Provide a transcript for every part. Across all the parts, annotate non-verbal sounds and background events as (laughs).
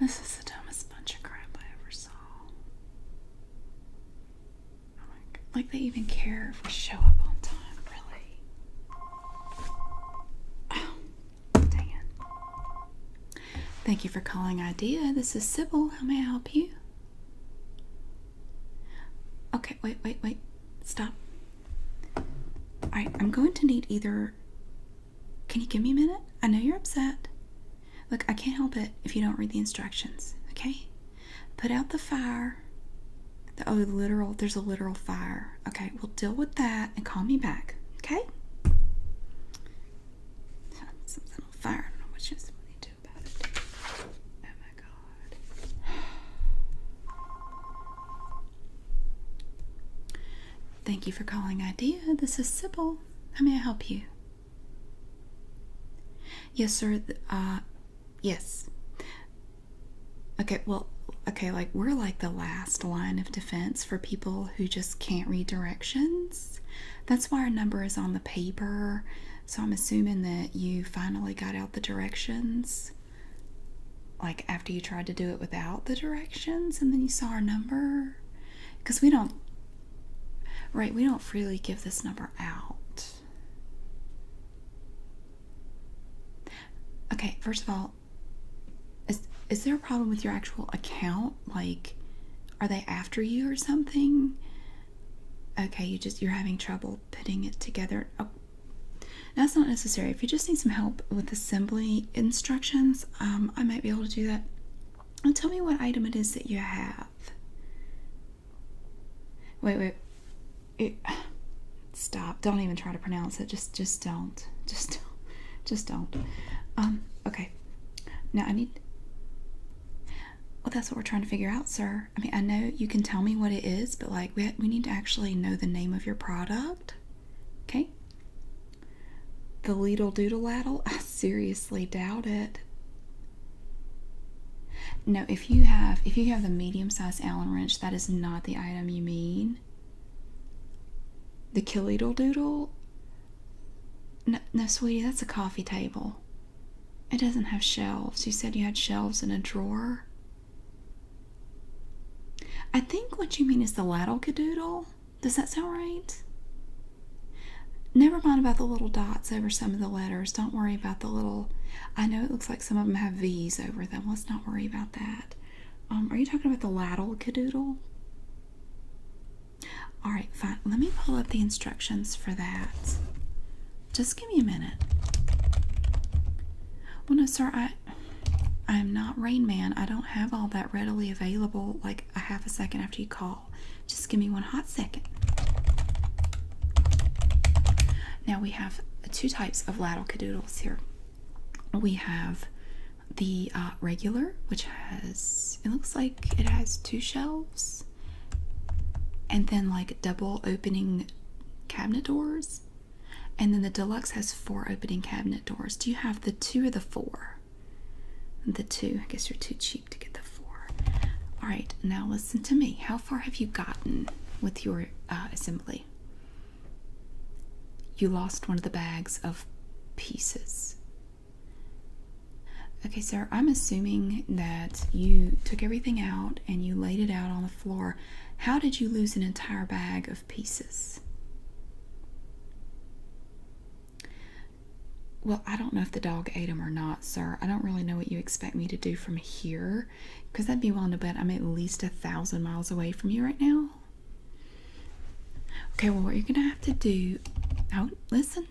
This is the dumbest bunch of crap I ever saw. Like they even care if we show up on time, really. Oh, Thank you for calling IDEA. This is Sybil. How may I help you? Okay, wait, wait, wait. Stop. I'm going to need either can you give me a minute? I know you're upset. Look, I can't help it if you don't read the instructions, okay? Put out the fire. oh, literal, there's a literal fire. Okay, we'll deal with that and call me back, okay? Something on fire. I don't know what she's going to do about it. Oh my god. Thank you for calling IDEA. This is Sybil. How may I help you? Yes, sir. Uh, yes. Okay, well, okay, like we're like the last line of defense for people who just can't read directions. That's why our number is on the paper. So I'm assuming that you finally got out the directions. Like, after you tried to do it without the directions and then you saw our number because we don't right we don't freely give this number out okay first of all is is there a problem with your actual account like are they after you or something okay you just you're having trouble putting it together oh, that's not necessary if you just need some help with assembly instructions um, I might be able to do that. And tell me what item it is that you have. Wait, wait. stop. Don't even try to pronounce it. Just, just don't. Just don't. Just don't. Um, okay. Now I need. Well, that's what we're trying to figure out, sir. I mean, I know you can tell me what it is, but like, we, we need to actually know the name of your product. Okay? The Leedle Doodle Addle? I seriously doubt it. No, if you have if you have the medium sized Allen wrench, that is not the item you mean. The Killeedle Doodle? No, no, sweetie, that's a coffee table. It doesn't have shelves. You said you had shelves and a drawer. I think what you mean is the Laddle Cadoodle. Does that sound right? Never mind about the little dots over some of the letters. Don't worry about the little. I know it looks like some of them have V's over them. Let's not worry about that. Um, are you talking about the laddle cadoodle? All right, fine. Let me pull up the instructions for that. Just give me a minute. Well, no, sir. I I'm not Rain Man. I don't have all that readily available like a half a second after you call. Just give me one hot second. Now we have two types of ladle cadoodles here. We have the uh, regular, which has, it looks like it has two shelves and then like double opening cabinet doors. And then the deluxe has four opening cabinet doors. Do you have the two or the four? The two. I guess you're too cheap to get the four. All right, now listen to me. How far have you gotten with your uh, assembly? You lost one of the bags of pieces. Okay, sir, I'm assuming that you took everything out and you laid it out on the floor. How did you lose an entire bag of? pieces. Well, I don't know if the dog ate them or not, sir. I don't really know what you expect me to do from here because I'd be willing to bet I'm at least a thousand miles away from you right now. Okay, well, what you're gonna have to do. don't oh, listen,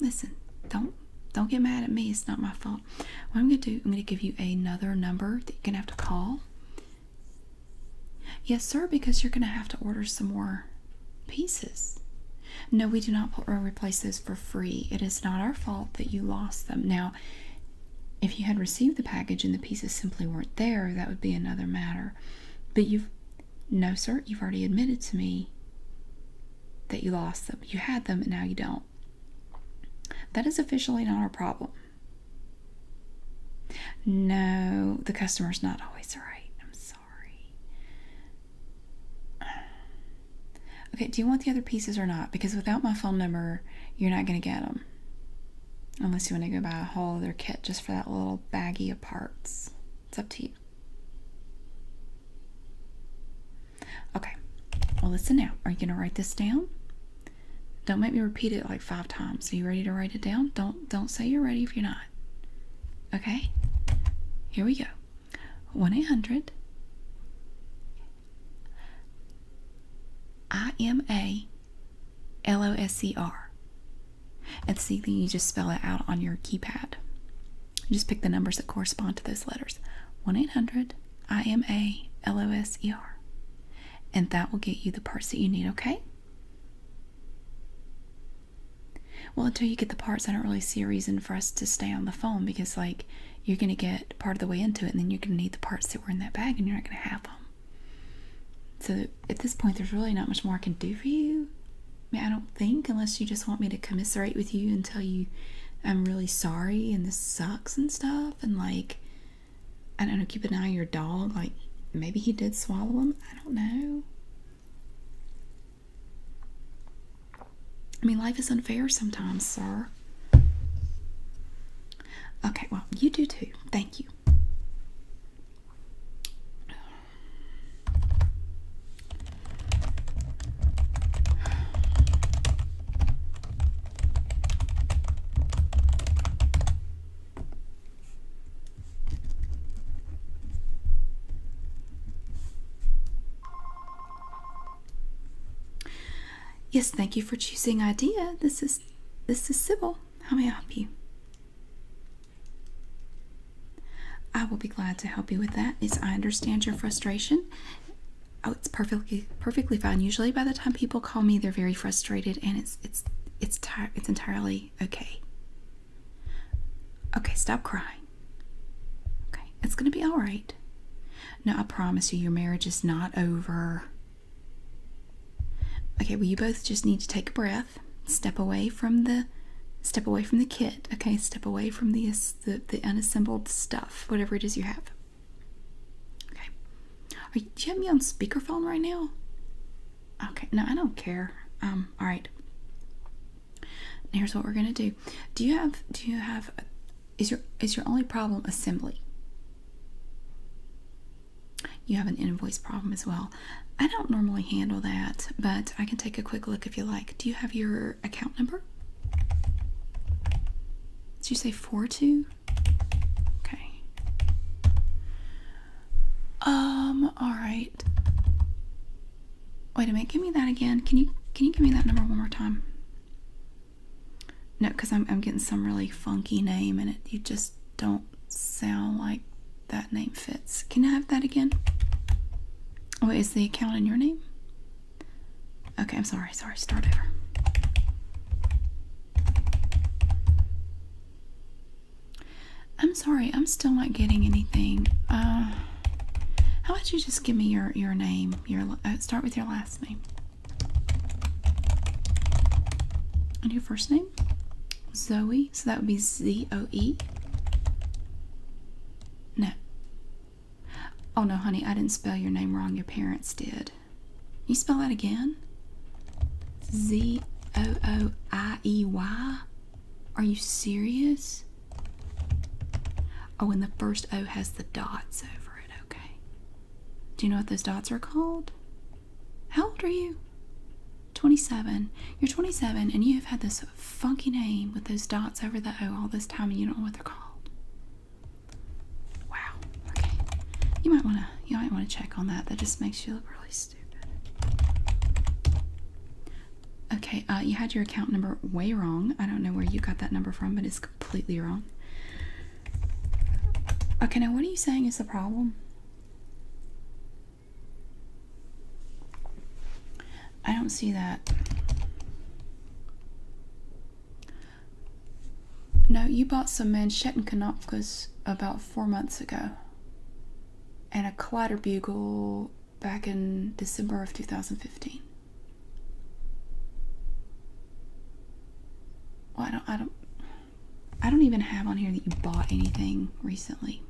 listen. Don't don't get mad at me. It's not my fault. What I'm gonna do, I'm gonna give you another number that you're gonna have to call. Yes, sir, because you're going to have to order some more pieces. No, we do not replace those for free. It is not our fault that you lost them. Now, if you had received the package and the pieces simply weren't there, that would be another matter. But you've, no, sir, you've already admitted to me that you lost them. You had them and now you don't. That is officially not our problem. No, the customer's not always right. I'm sorry. Okay, do you want the other pieces or not? Because without my phone number, you're not going to get them. Unless you want to go buy a whole other kit just for that little baggie of parts. It's up to you. Okay, well, listen now. Are you going to write this down? Don't make me repeat it like five times. Are you ready to write it down? Don't don't say you're ready if you're not. Okay? Here we go. 1-800 I M A L O S E R. And see, then you just spell it out on your keypad. just pick the numbers that correspond to those letters 1 800 I M A L O S E R. And that will get you the parts that you need, okay? Well, until you get the parts, I don't really see a reason for us to stay on the phone because, like, you're going to get part of the way into it and then you're going to need the parts that were in that bag and you're not going to have them. So at this point, there's really not much more I can do for you. I, mean, I don't think, unless you just want me to commiserate with you and tell you I'm really sorry and this sucks and stuff, and like I don't know, keep an eye on your dog. Like maybe he did swallow him. I don't know. I mean, life is unfair sometimes, sir. Okay, well, you do too. Thank you. Yes, thank you for choosing IDEA. This is this is Sybil. How may I help you? I will be glad to help you with that. As I understand your frustration. Oh, it's perfectly perfectly fine. Usually, by the time people call me, they're very frustrated, and it's it's it's it's entirely okay, okay. stop crying. Okay, it's gonna be all right. No, I promise you, your marriage is not over. Okay, well, you both just need to take a breath, step away from the, step away from the kit. Okay, step away from the the, the unassembled stuff, whatever it is you have. Okay, are you, do you have me on speakerphone right now? Okay, no, I don't care. Um, all right. Here's what we're gonna do. Do you have? Do you have? Is your is your only problem assembly? You have an invoice problem as well. I don't normally handle that, but I can take a quick look if you like. Do you have your account number? Did you say four two? Okay. Um, all right. Wait a minute, give me that again. Can you can you give me that number one more time? No, because I'm I'm getting some really funky name and it you just don't sound like that name fits. Can I have that again? Oh, is the account in your name? Okay, I'm sorry, sorry, start over. I'm sorry, I'm still not getting anything. Uh, how about you just give me your your name? Your uh, start with your last name and your first name, Zoe. So that would be Z O E. No. Oh no, honey, I didn't spell your name wrong. Your parents did. You spell that again? Z O O I E Y? Are you serious? Oh, and the first O has the dots over it, okay. Do you know what those dots are called? How old are you? 27. You're 27 and you have had this funky name with those dots over the O all this time and you don't know what they're called. Wow. Okay. You might want to you might want to check on that. That just makes you look really Okay, uh, you had your account number way wrong. I don't know where you got that number from, but it's completely wrong. Okay, now what are you saying is the problem? I don't see that. No, you bought some manchetten Kanopkas about four months ago and a collider bugle back in December of 2015. Well, I don't, I don't, I don't even have on here that you bought anything recently.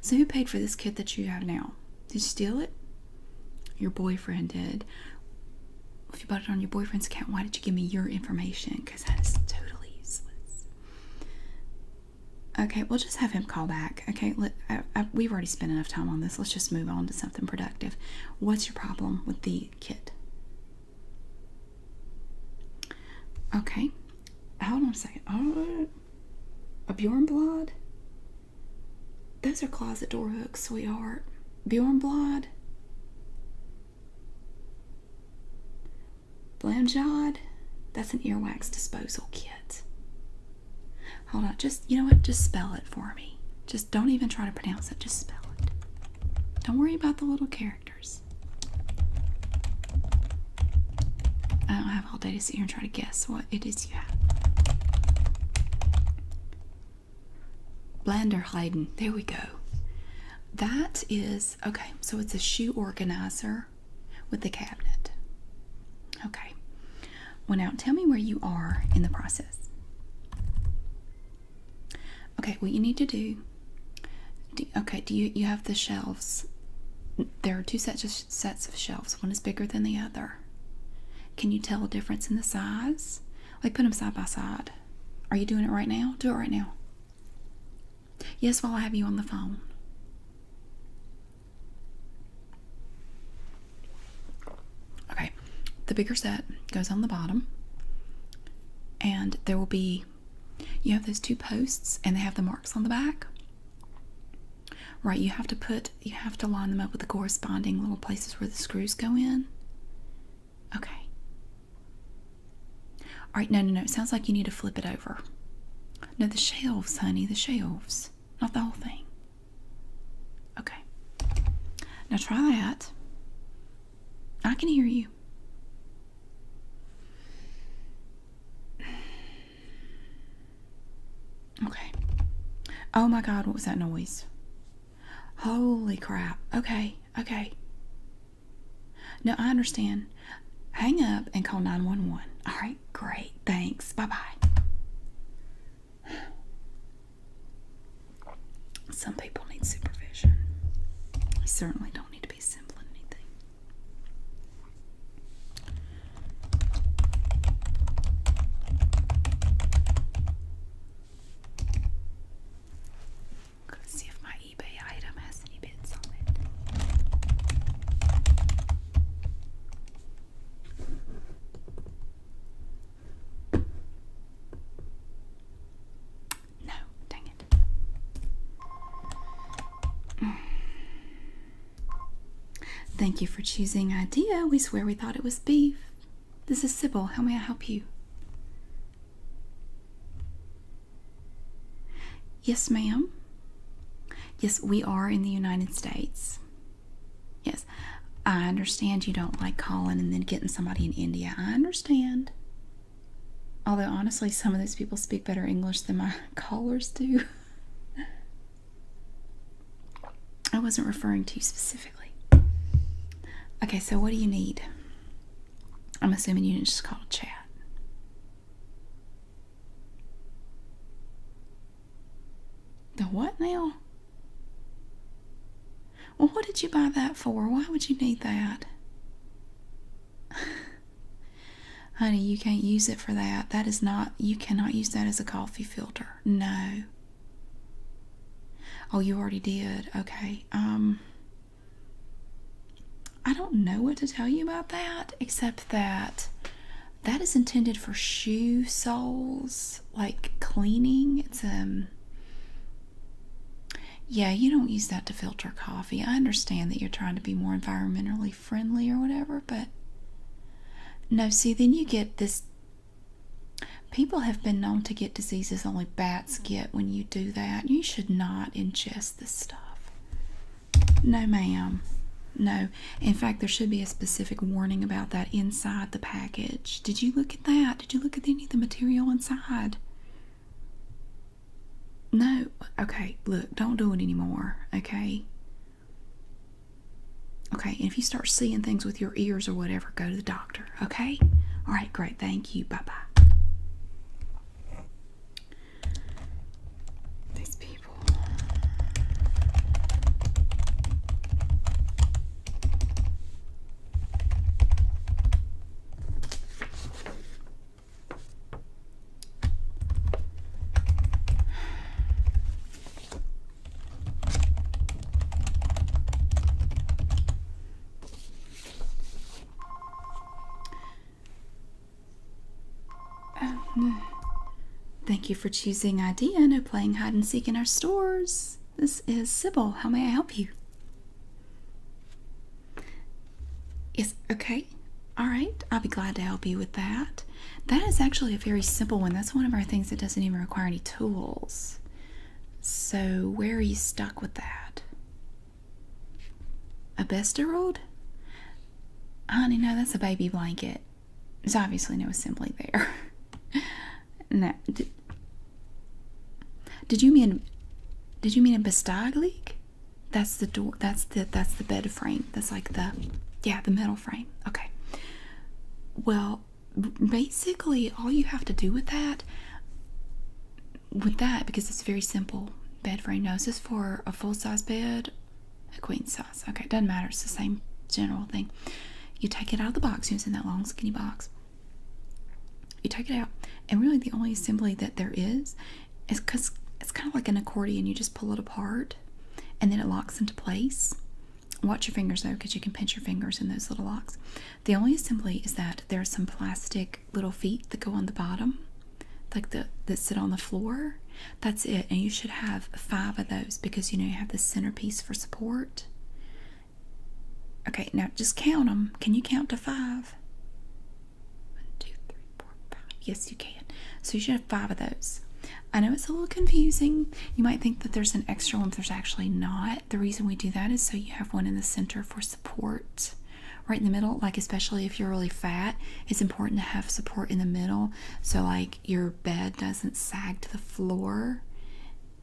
So who paid for this kit that you have now? Did you steal it? Your boyfriend did. If you bought it on your boyfriend's account, why did you give me your information? Because that is totally useless. Okay, we'll just have him call back. Okay, we've already spent enough time on this. Let's just move on to something productive. What's your problem with the kit? Okay, hold on a second. Oh, a Bjornblad? Those are closet door hooks, sweetheart. Bjornblad? Blamjod, that's an earwax disposal kit. Hold on, just, you know what, just spell it for me. Just don't even try to pronounce it, just spell it. Don't worry about the little characters. I don't have all day to sit here and try to guess what it is you have. Blanderheiden, there we go. That is okay, so it's a shoe organizer with a cabinet. Okay. Well, out. tell me where you are in the process. Okay, what you need to do. okay, do you you have the shelves? There are two sets of sets of shelves. One is bigger than the other. Can you tell a difference in the size? Like put them side by side. Are you doing it right now? Do it right now. Yes, while I have you on the phone. Okay, the bigger set goes on the bottom, and there will be you have those two posts and they have the marks on the back. Right, you have to put you have to line them up with the corresponding little places where the screws go in. Okay. All right, no, no, no. It sounds like you need to flip it over. No, the shelves, honey, the shelves, not the whole thing. Okay. Now try that. I can hear you. Okay. Oh my God, what was that noise? Holy crap. Okay, okay. No, I understand. Hang up and call 911. All right, great. Thanks. Bye bye. Some people need supervision. I certainly don't need to be simple anything. Let's see if my eBay item has any bits on it. No, dang it. Mm. Thank you for choosing Idea. We swear we thought it was beef. This is Sybil. How may I help you? Yes, ma'am. Yes, we are in the United States. Yes, I understand you don't like calling and then getting somebody in India. I understand. Although, honestly, some of those people speak better English than my (laughs) callers do. I wasn't referring to you specifically. Okay, so what do you need? I'm assuming you just called chat. The what now? Well, what did you buy that for? Why would you need that? (sighs) Honey, you can't use it for that. That is not, you cannot use that as a coffee filter. No. Oh, you already did. Okay. Um, I don't know what to tell you about that, except that that is intended for shoe soles, like cleaning. It's um yeah, you don't use that to filter coffee. I understand that you're trying to be more environmentally friendly or whatever, but no, see, then you get this. People have been known to get diseases only bats mm-hmm. get when you do that. You should not ingest test stuff. No, ma'am. No. In fact, there should be a specific warning about that inside the package. Did you look at that? Did you look at any of the material inside? No. Okay, look, don't do it anymore, okay? Okay, if you start seeing things with your ears or whatever, go to the doctor, okay? All right, great. Thank you. Bye bye. These people. Thank you for choosing Idea and playing hide and seek in our stores. This is Sybil. How may I help you? Yes, okay. All right. I'll be glad to help you with that. That is actually a very simple one. That's one of our things that doesn't even require any tools. So, where are you stuck with that? A besterode? Honey, no, that's a baby blanket. There's obviously no assembly there. (laughs) no. Did, you mean did you mean a bestaglig? That's the door that's the that's the bed frame. That's like the yeah, the metal frame. Okay. Well, basically all you have to do with that with that because it's very simple bed frame. Now, for a full size bed? A queen size. Okay, it doesn't matter. It's the same general thing. You take it out of the box using that long skinny box. You take it out, and really the only assembly that there is is because it's kind of like an accordion. You just pull it apart, and then it locks into place. Watch your fingers though, because you can pinch your fingers in those little locks. The only assembly is that there's some plastic little feet that go on the bottom, like the that sit on the floor. That's it. And you should have five of those because you know you have the centerpiece for support. Okay, now just count them. Can you count to five? One, two, three, four, five. Yes, you can. So you should have five of those. I know it's a little confusing. You might think that there's an extra one, but there's actually not. The reason we do that is so you have one in the center for support right in the middle. Like, especially if you're really fat, it's important to have support in the middle so, like, your bed doesn't sag to the floor.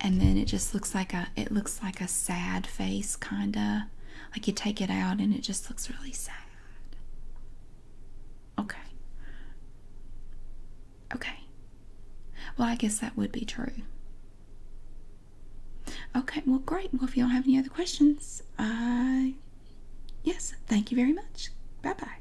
And then it just looks like a it looks like a sad face kinda. Like you take it out and it just looks really sad. Okay. Okay. Well, I guess that would be true. Okay, well, great. Well, if you don't have any other questions, I. Yes, thank you very much. Bye bye.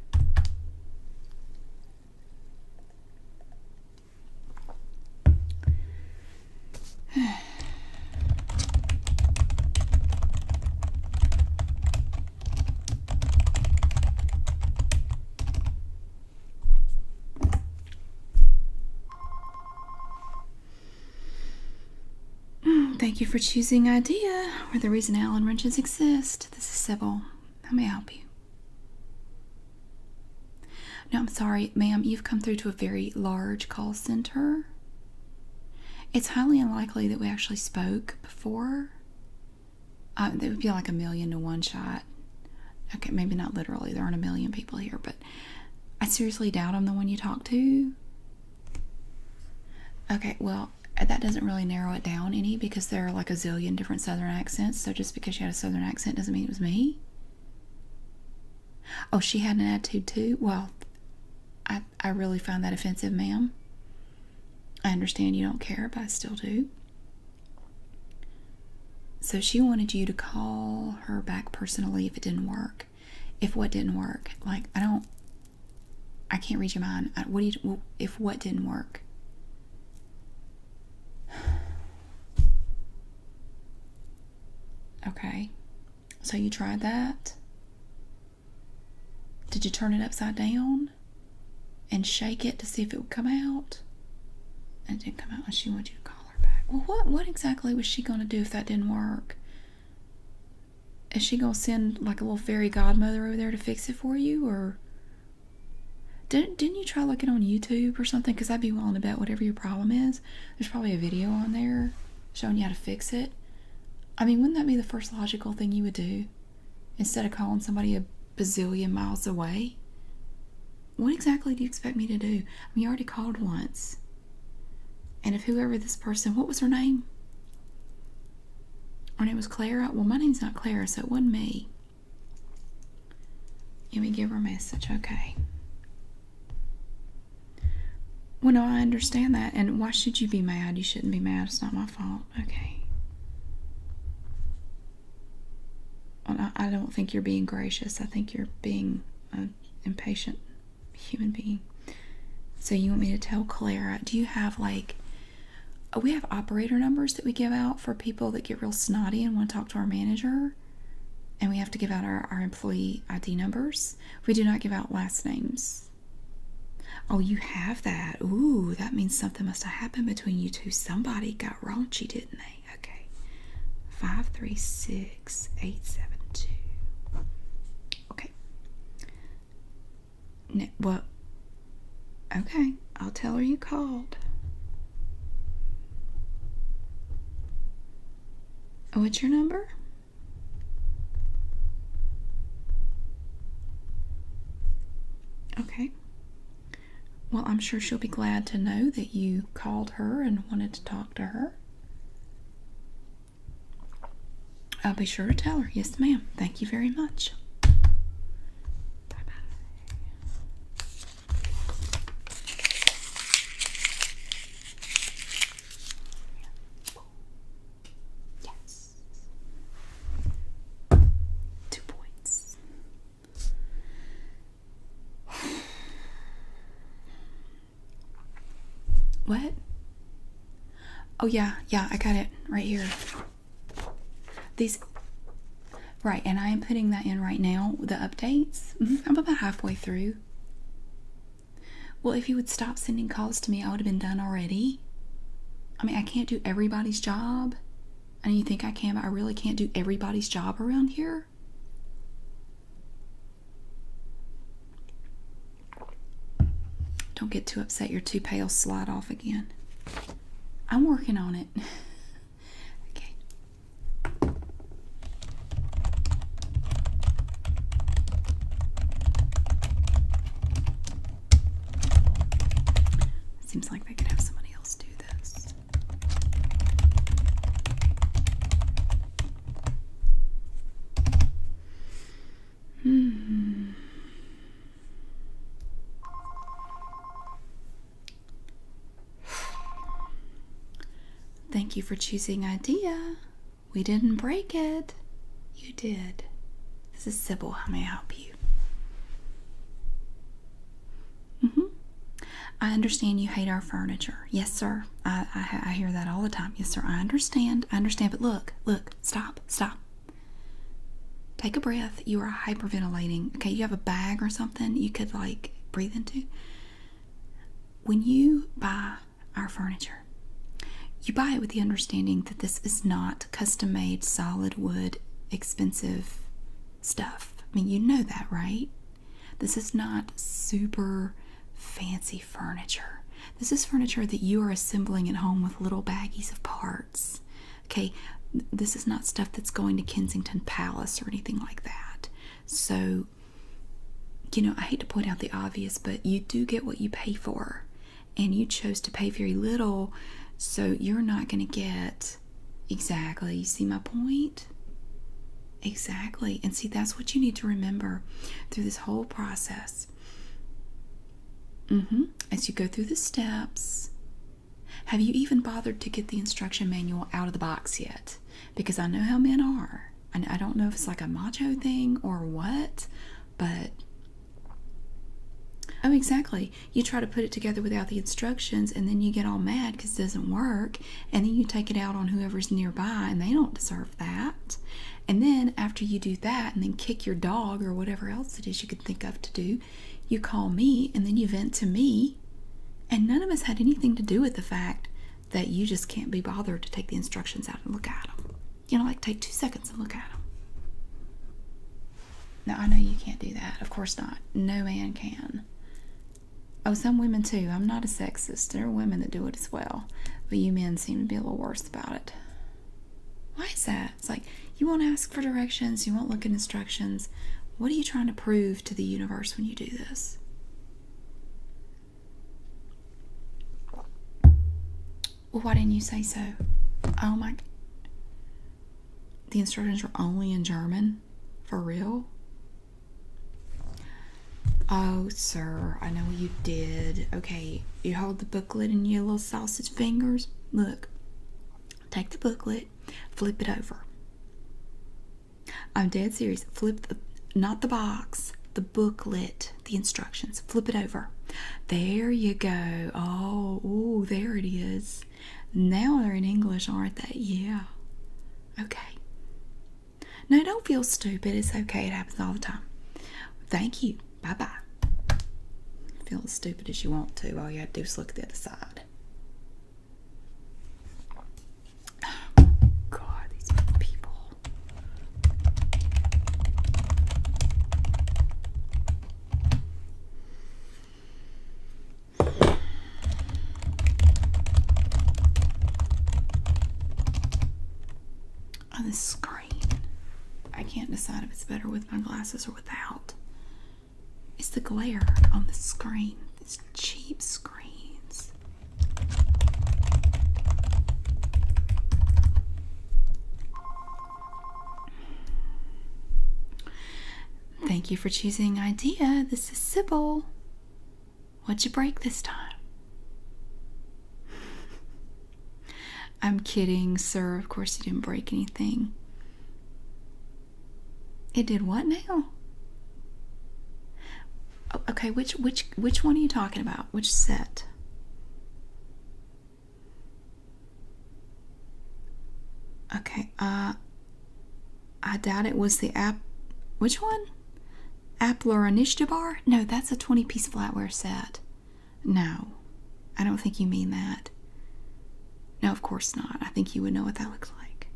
(sighs) Thank you for choosing IDEA, Or the reason Allen wrenches exist. This is Sybil. How may I help you? No, I'm sorry, ma'am. You've come through to a very large call center. It's highly unlikely that we actually spoke before. Uh, it would be like a million to one shot. Okay, maybe not literally. There aren't a million people here, but. I seriously doubt I'm the one you talked to. Okay, well, that doesn't really narrow it down any because there are like a zillion different southern accents, so just because she had a southern accent doesn't mean it was me. Oh, she had an attitude too? Well, I, I really find that offensive, ma'am. I understand you don't care, but I still do. So she wanted you to call her back personally if it didn't work if what didn't work like i don't i can't read your mind what do you if what didn't work (sighs) okay so you tried that did you turn it upside down and shake it to see if it would come out it didn't come out and she wanted you to call well, what what exactly was she gonna do if that didn't work? Is she gonna send like a little fairy godmother over there to fix it for you, or didn't didn't you try looking on YouTube or something? Because I'd be willing to bet whatever your problem is, there's probably a video on there showing you how to fix it. I mean, wouldn't that be the first logical thing you would do instead of calling somebody a bazillion miles away? What exactly do you expect me to do? I mean, you already called once and if whoever this person what was her name her name was clara well my name's not clara so it wasn't me let me give her a message okay well no i understand that and why should you be mad you shouldn't be mad it's not my fault okay well, I, don't think you're being gracious i think you're being uh, impatient human being. So you want me to tell Clara, do you have like we have operator numbers that we give out for people that get real snotty and want to talk to our manager? And we have to give out our, our employee ID numbers. We do not give out last names. Oh, you have that. Ooh, that means something must have happened between you two. Somebody got raunchy, didn't they? Okay. 536. Six eight seven two. Okay. well, okay, I'll tell her you called. What's your number? Okay. Well, I'm sure she'll be glad to know that you called her and wanted to talk to her. I'll be sure to tell her. Yes, ma'am. Thank you very much. Bye Yes. Two points. (sighs) (sighs) What? Oh, yeah, yeah, I got it right here. These, right, and I am putting that in right now, the updates. Mm-hmm, I'm about halfway through. Well, if you would stop sending calls to me, I would have been done already. I mean, I can't do everybody's job. I and you think I can, but I really can't do everybody's job around here. Don't get too upset, your two pails slide off again. I'm working on it. (laughs) okay. Seems like they could have somebody else do this. Hmm. Thank you for choosing idea. We didn't break it. You did. This is Sybil. How may I help you? Mm-hmm. I understand you hate our furniture. Yes, sir. I, I, hear that all the time. Yes, sir. I understand. I understand. But look, look, stop, stop. Take a breath. You are hyperventilating. Okay, you have a bag or something you could like breathe into. When you buy our furniture, you buy it with the understanding that this is not custom made, solid wood, expensive stuff. I mean, you know that, right? This is not super fancy furniture. This is furniture that you are assembling at home with little baggies of parts. Okay, this is not stuff that's going to Kensington Palace or anything like that. So, you know, I hate to point out the obvious, but you do get what you pay for. And you chose to pay very little, so you're not going to get exactly. You see my point? Exactly. And see, that's what you need to remember through this whole process. Mm-hmm. As you go through the steps, have you even bothered to get the instruction manual out of the box yet? Because I know how men are. And I don't know if it's like a macho thing or what, but Oh, exactly. You try to put it together without the instructions and then you get all mad because it doesn't work and then you take it out on whoever's nearby, and they don't deserve that. And then after you do that, and then kick your dog or whatever else it is you could think of to do, you call me, and then you vent to me. And none of us had anything to do with the fact that you just can't be bothered to take the instructions out and look at them. You know, like take two seconds and look at them. Now, I know you can't do that. Of course not. No man can. Oh, some women too. I'm not a sexist. There are women that do it as well. But you men seem to be a little worse about it. Why is that? It's like you won't ask for directions, you won't look at instructions. What are you trying to prove to the universe when you do this? Well, why didn't you say so? Oh my. The instructions were only in German? For real? Oh, sir, I know you did. Okay, you hold the booklet in your little sausage fingers. Look, take the booklet, flip it over. I'm dead serious. Flip the, not the box, the booklet, the instructions. Flip it over. There you go. Oh, ooh, there it is. Now they're in English, aren't they? Yeah. Okay. No, don't feel stupid. It's okay. It happens all the time. Thank you. Bye bye. Feel as stupid as you want to. All you have to do is look at the other side. (gasps) God, these people on the screen. I can't decide if it's better with my glasses or without. It's the glare on the screen. These cheap screens. Thank you for choosing IDEA. This is Sybil. What'd you break this time? I'm kidding, sir. Of course, you didn't break anything. It did what now? Okay, which which which one are you talking about? Which set? Okay, uh I doubt it was the app which one? Aplornishtabar? No, that's a 20 piece flatware set. No, I don't think you mean that. No, of course not. I think you would know what that looks like.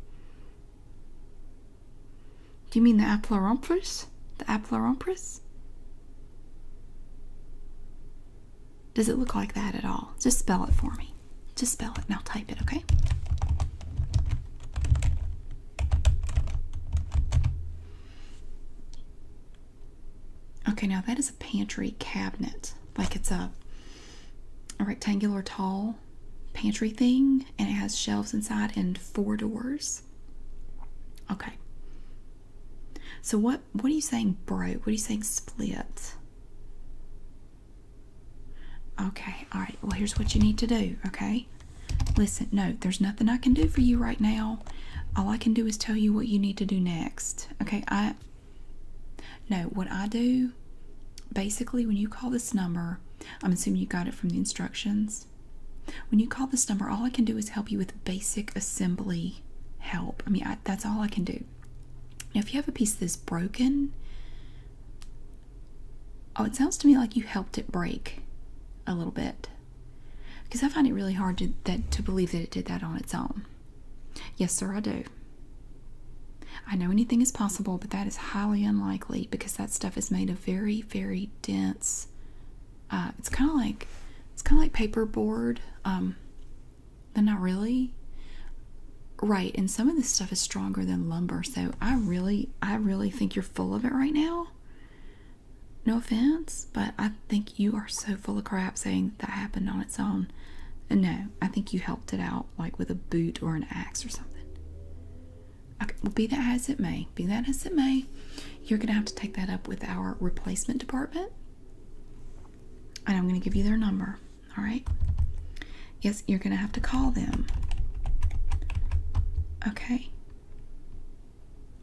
Do you mean the Aplorompress? The Aplorompress? Does it look like that at all? Just spell it for me. Just spell it and I'll type it, okay? Okay, now that is a pantry cabinet. Like it's a, a rectangular tall pantry thing and it has shelves inside and four doors. Okay. So what what are you saying broke? What are you saying split? Okay, all right. Well, here's what you need to do, okay? Listen, no, there's nothing I can do for you right now. All I can do is tell you what you need to do next. Okay, I. No, what I do, basically, when you call this number, I'm assuming you got it from the instructions. When you call this number, all I can do is help you with basic assembly help. I mean, that's all I can do. if you have a piece that's broken, Oh, it sounds to me like you helped it break a little bit. Because I find it really hard to, to believe that it did that on its own. Yes, sir, I do. I know anything is possible, but that is highly unlikely because that stuff is made of very, very dense. Uh, it's kind of like it's kind of like paperboard, um, but not really. Right, and some of this stuff is stronger than lumber, so I really I really think you're full of it right now. No offense, but I think you are so full of crap saying that, happened on its own. And no, I think you helped it out, like with a boot or an axe or something. well, be that as it may, be that as it may, you're going to have to take that up with our replacement department. And I'm going to give you their number, all right? Yes you're going to have to call them. Okay.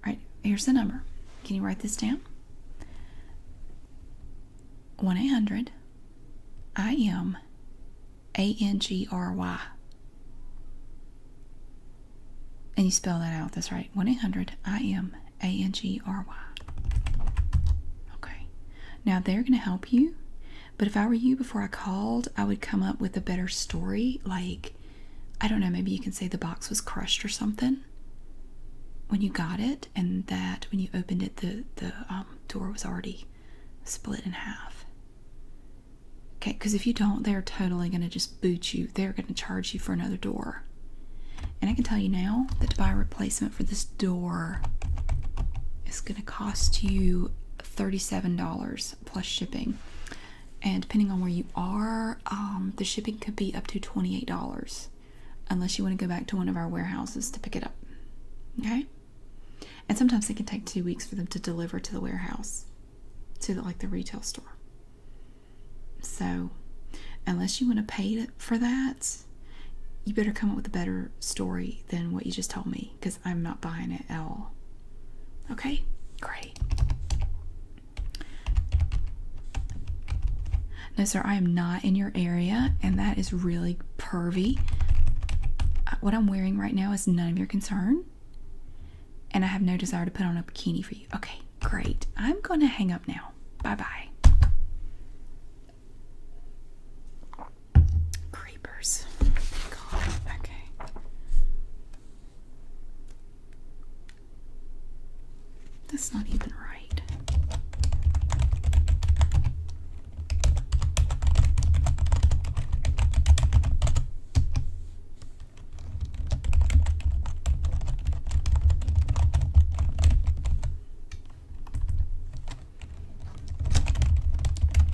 All right, here's the number. Can you write this down? 1 800 I M A N G R Y. And you spell that out, that's right. 1 800 I M A N G R Y. Okay. Now they're going to help you. But if I were you before I called, I would come up with a better story. Like, I don't know, maybe you can say the box was crushed or something when you got it, and that when you opened it, the, the um, door was already split in half. Okay, because if you don't, they're totally going to just boot you. They're going to charge you for another door. And I can tell you now that to buy a replacement for this door is going to cost you $37 plus shipping. And depending on where you are, um, the shipping could be up to twenty eight dollars, unless you want to go back to one of our warehouses to pick it up. Okay. And sometimes it can take two weeks for them to deliver to the warehouse, to like the retail store. So, unless you want to pay for that, you better come up with a better story than what you just told me, because I'm not buying it at all. Okay, great. No, sir, I am not in your area, and that is really pervy. Uh, what I'm wearing right now is none of your concern, and I have no desire to put on a bikini for you. Okay, great. I'm gonna hang up now. Bye bye. Creepers. Okay. That's not even right.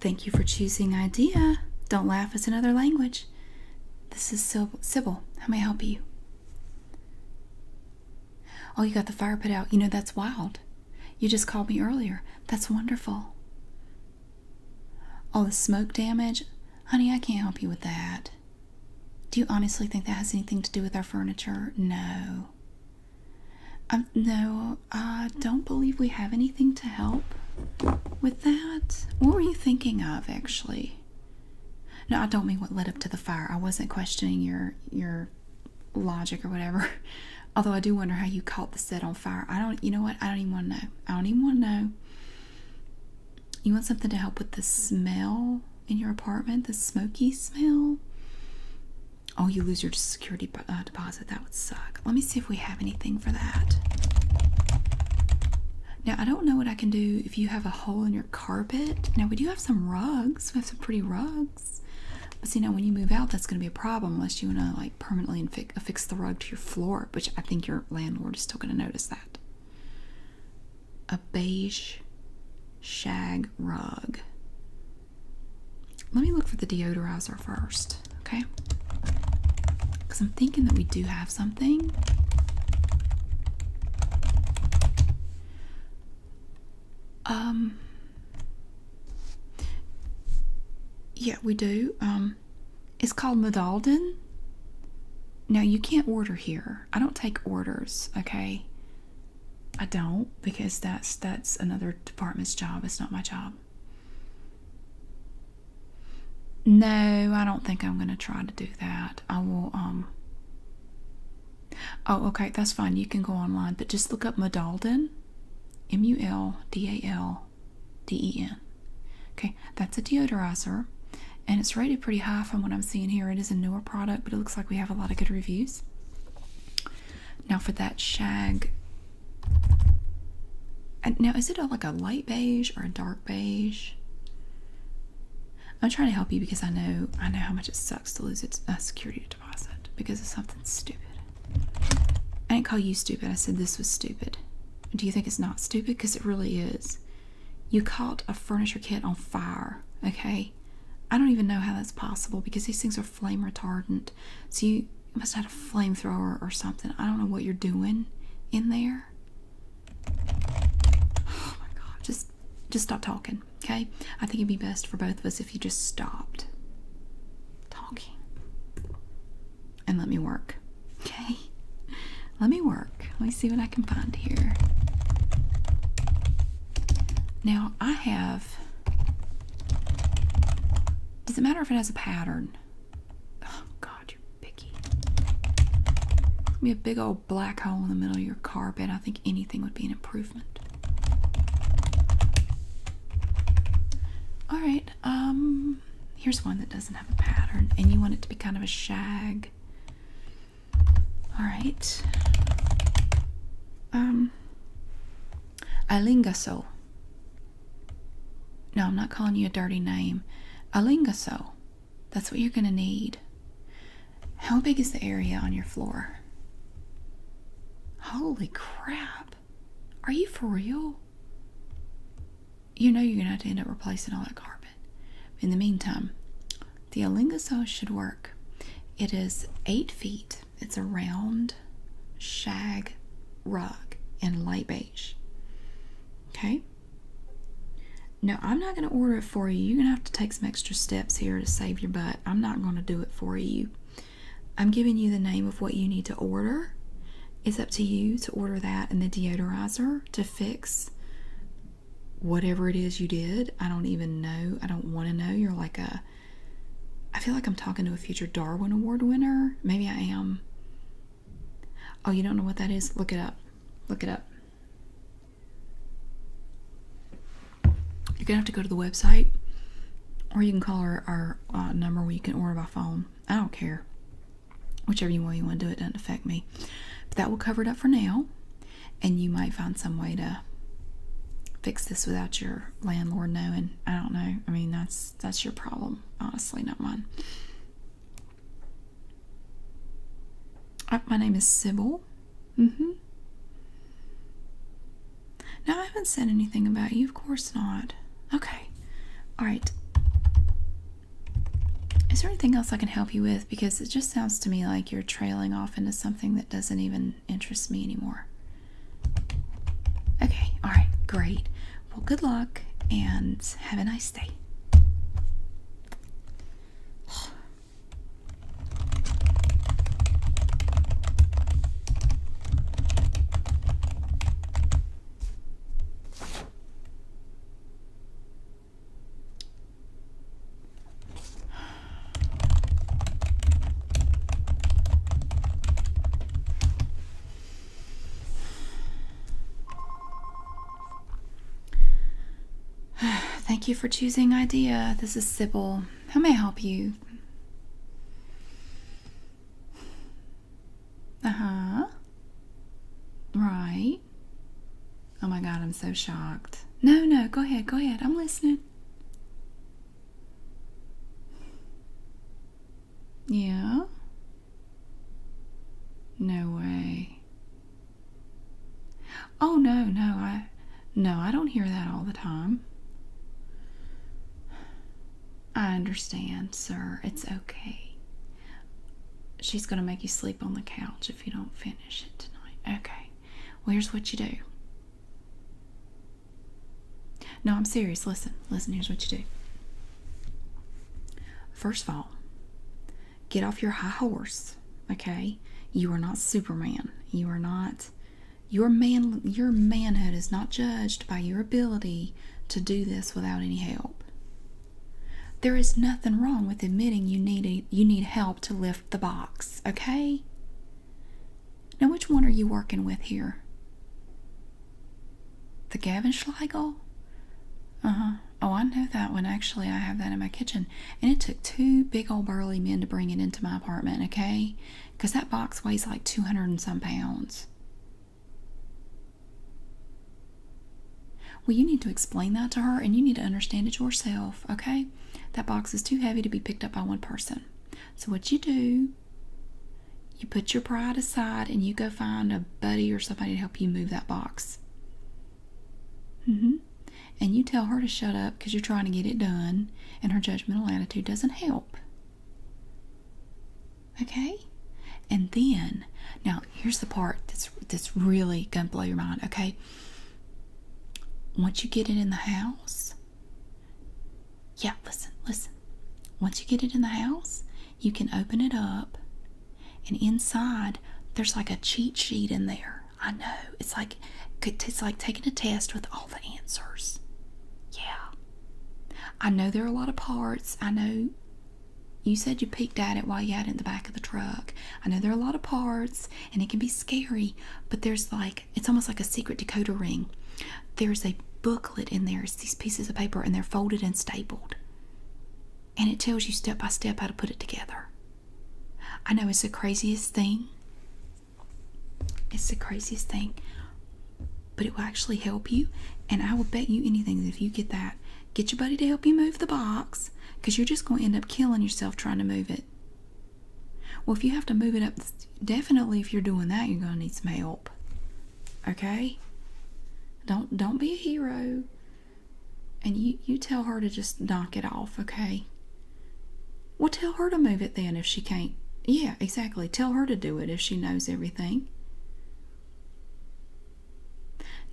Thank you for choosing IDEA. Don't laugh, it's another language. This is Sybil. Sybil. How may I help you? Oh, you got the fire put out. You know, that's wild. You just called me earlier. That's wonderful. All oh, the smoke damage. Honey, I can't help you with that. Do you honestly think that has anything to do with our furniture? No. i Um, no, I uh, don't believe we have anything to help with that. What were you thinking of, actually? No, I don't mean what led up to the fire. I wasn't questioning your your logic or whatever. (laughs) Although I do wonder how you caught the set on fire. I don't. You know what? I don't even want to know. I don't even want to know. You want something to help with the smell in your apartment, the smoky smell. Oh, you lose your security uh, deposit. That would suck. Let me see if we have anything for that. Now, I don't know what I can do if you have a hole in your carpet. Now, we do have some rugs. We have some pretty rugs. But see, now when you move out, that's going to be a problem unless you want to like permanently affix the rug to your floor, which I think your landlord is still going to notice that. A beige shag rug. Let me look for the deodorizer first okay? Because I'm thinking that we do have something. Um, yeah, we do. Um, it's called Medalden. Now, you can't order here. I don't take orders, okay? I don't because that's that's another department's job. It's not my job. No, I don't think I'm going to try to do that. I will, um, oh, okay, that's fine. You can go online, but just look up Medalden, M U L D A L D E N. Okay, that's a deodorizer and it's rated pretty high from what I'm seeing here. It is a newer product, but it looks like we have a lot of good reviews. Now, for that shag now, is it like a light beige or a dark beige? I'm trying to help you because I know I know how much it sucks to lose its a security deposit because of something stupid. I didn't call you stupid. I said this was stupid. Do you think it's not stupid? Because it really is. You caught a furniture kit on fire. Okay, I don't even know how that's possible because these things are flame retardant. So you you must have a flamethrower or something. I don't know what you're doing in there. Oh my god. Just just stop talking, okay? I think it'd be best for both of us if you just stopped talking. And let me work. Okay? (laughs) Let me work. Let me see what I can find here. Now I have does it matter if it has a pattern? Oh, God, you're picky. Be a big old black hole in the middle of your carpet. I think anything would be an improvement. All right. Um, here's one that doesn't have a pattern, and you want it to be kind of a shag. All right. Um, Alinga Ilingaso. No, I'm not calling you a dirty name. Alinga Ilingaso. That's what you're going to need. How big is the area on your floor? Holy crap. Are you for real? You know you're going to have to end up replacing all that carpet. In the meantime, the alinga Alingaso should work. It is eight feet. It's a round shag rug in light beige. Okay? Now, I'm not going to order it for you. You're going to have to take some extra steps here to save your butt. I'm not going to do it for you. I'm giving you the name of what you need to order. It's up to you to order that and the deodorizer to fix whatever it is you did. I don't even know. I don't want to know. You're like a I feel like I'm talking to a future Darwin Award winner. Maybe I am. Oh, you don't know what that is? Look it up. Look it up. You're gonna have to go to the website, or you can call our, our uh, number where you can order by phone. I don't care. Whichever you way you want to do it doesn't affect me. But that will cover it up for now, and you might find some way to fix this without your landlord knowing. I don't know. I mean, that's that's your problem, honestly, not mine. Uh, my name is Sybil. Mm-hmm. No, I haven't said anything about you. Of course not. Okay. All right. Is there anything else I can help you with? Because it just sounds to me like you're trailing off into something that doesn't even interest me anymore. Okay, all right, great. Well, good luck and have a nice day. (sighs) Thank you for choosing IDEA. This is Sybil. How may I help you? Uh huh. Right. Oh my god, I'm so shocked. No, no, go ahead, go ahead. I'm listening. Yeah? No way. Oh no, no, I no, I don't hear that all the time. I understand, sir. It's okay. She's going to make you sleep on the couch if you don't finish it tonight. Okay. Well, here's what you do. No, I'm serious. Listen, listen, here's what you do. First of all, get off your high horse, okay? You are not Superman. You are not your man your manhood is not judged by your ability to do this without any help. There is nothing wrong with admitting you need you need help to lift the box, okay? Now, which one are you working with here? The Gavin Schlegel? Uh huh. Oh, I know that one. Actually, I have that in my kitchen. And it took two big old burly men to bring it into my apartment, okay? Because that box weighs like 200 and some pounds. Well, you need to explain that to her and you need to understand it yourself, okay? That box is too heavy to be picked up by one person. So, what you do you put your pride aside and you go find a buddy or somebody to help you move that box. Mm-hmm. And you tell her to shut up because you're trying to get it done, and her judgmental attitude doesn't help. Okay? And then, now here's the part that's that's really gonna blow your mind, okay? Once you get it in the house, yeah, listen, listen. Once you get it in the house, you can open it up, and inside there's like a cheat sheet in there. I know it's like it's like taking a test with all the answers. Yeah, I know there are a lot of parts. I know you said you peeked at it while you had it in the back of the truck. I know there are a lot of parts, and it can be scary. But there's like it's almost like a secret decoder ring there's a booklet in there. It's these pieces of paper and they're folded and stapled. And it tells you step by step how to put it together. I know it's the craziest thing. It's the craziest thing. But it will actually help you. And I will bet you anything that if you get that, get your buddy to help you move the box because you're just going to end up killing yourself trying to move it. Well, if you have to move it up definitely if you're doing that you're gonna need some help okay don't don't be a hero and you you tell her to just knock it off okay well tell her to move it then if she can't yeah exactly tell her to do it if she knows everything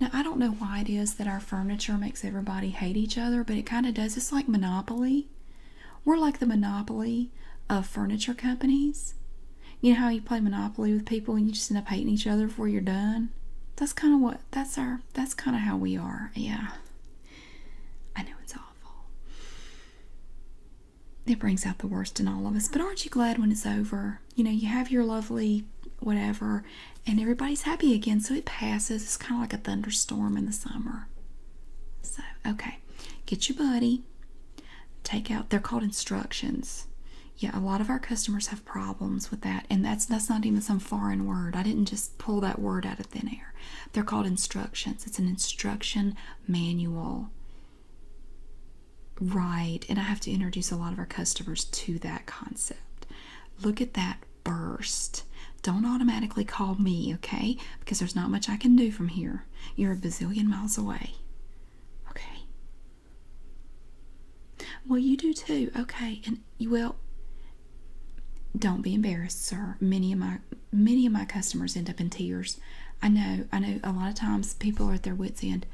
now i don't know why it is that our furniture makes everybody hate each other but it kind of does it's like monopoly we're like the monopoly of furniture companies you know how you play Monopoly with people and you just end up hating each other before you're done? That's kind of what, that's our, that's kind of how we are. Yeah. I know it's awful. It brings out the worst in all of us. But aren't you glad when it's over? You know, you have your lovely whatever and everybody's happy again. So it passes. It's kind of like a thunderstorm in the summer. So, okay. Get your buddy take out they're called instructions yeah a lot of our customers have problems with that and that's that's not even some foreign word i didn't just pull that word out of thin air they're called instructions it's an instruction manual right and i have to introduce a lot of our customers to that concept look at that burst don't automatically call me okay because there's not much i can do from here you're a bazillion miles away Okay. Well, you do too. Okay, and you will. Don't be embarrassed, sir. Many of my many of my customers end up in tears. I know. I know. A lot of times people are at their wits' end.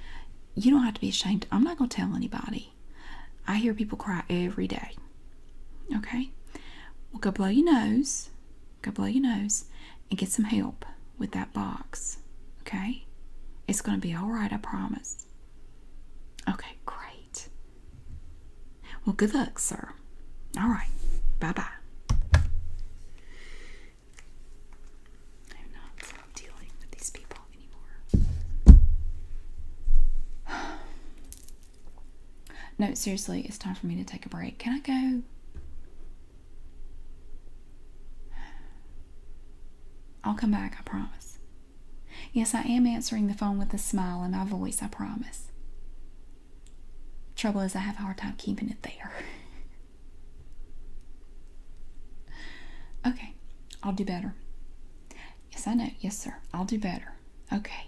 You don't have to be ashamed. I'm not going to tell anybody. I hear people cry every day. Okay. We'll go blow your nose go blow your nose and get some help with that box. Okay? It's going to be all right, I promise. Okay, great. Well, good luck, sir. All right. Bye bye. I'm not dealing with these people anymore. (sighs) no, seriously, it's time for me to take a break. Can I go? I'll come back, I promise. Yes, I am answering the phone with a smile in my voice, I promise. Trouble is, I have a hard time keeping it there. okay, I'll do better. Yes, I know. Yes, sir. I'll do better. Okay.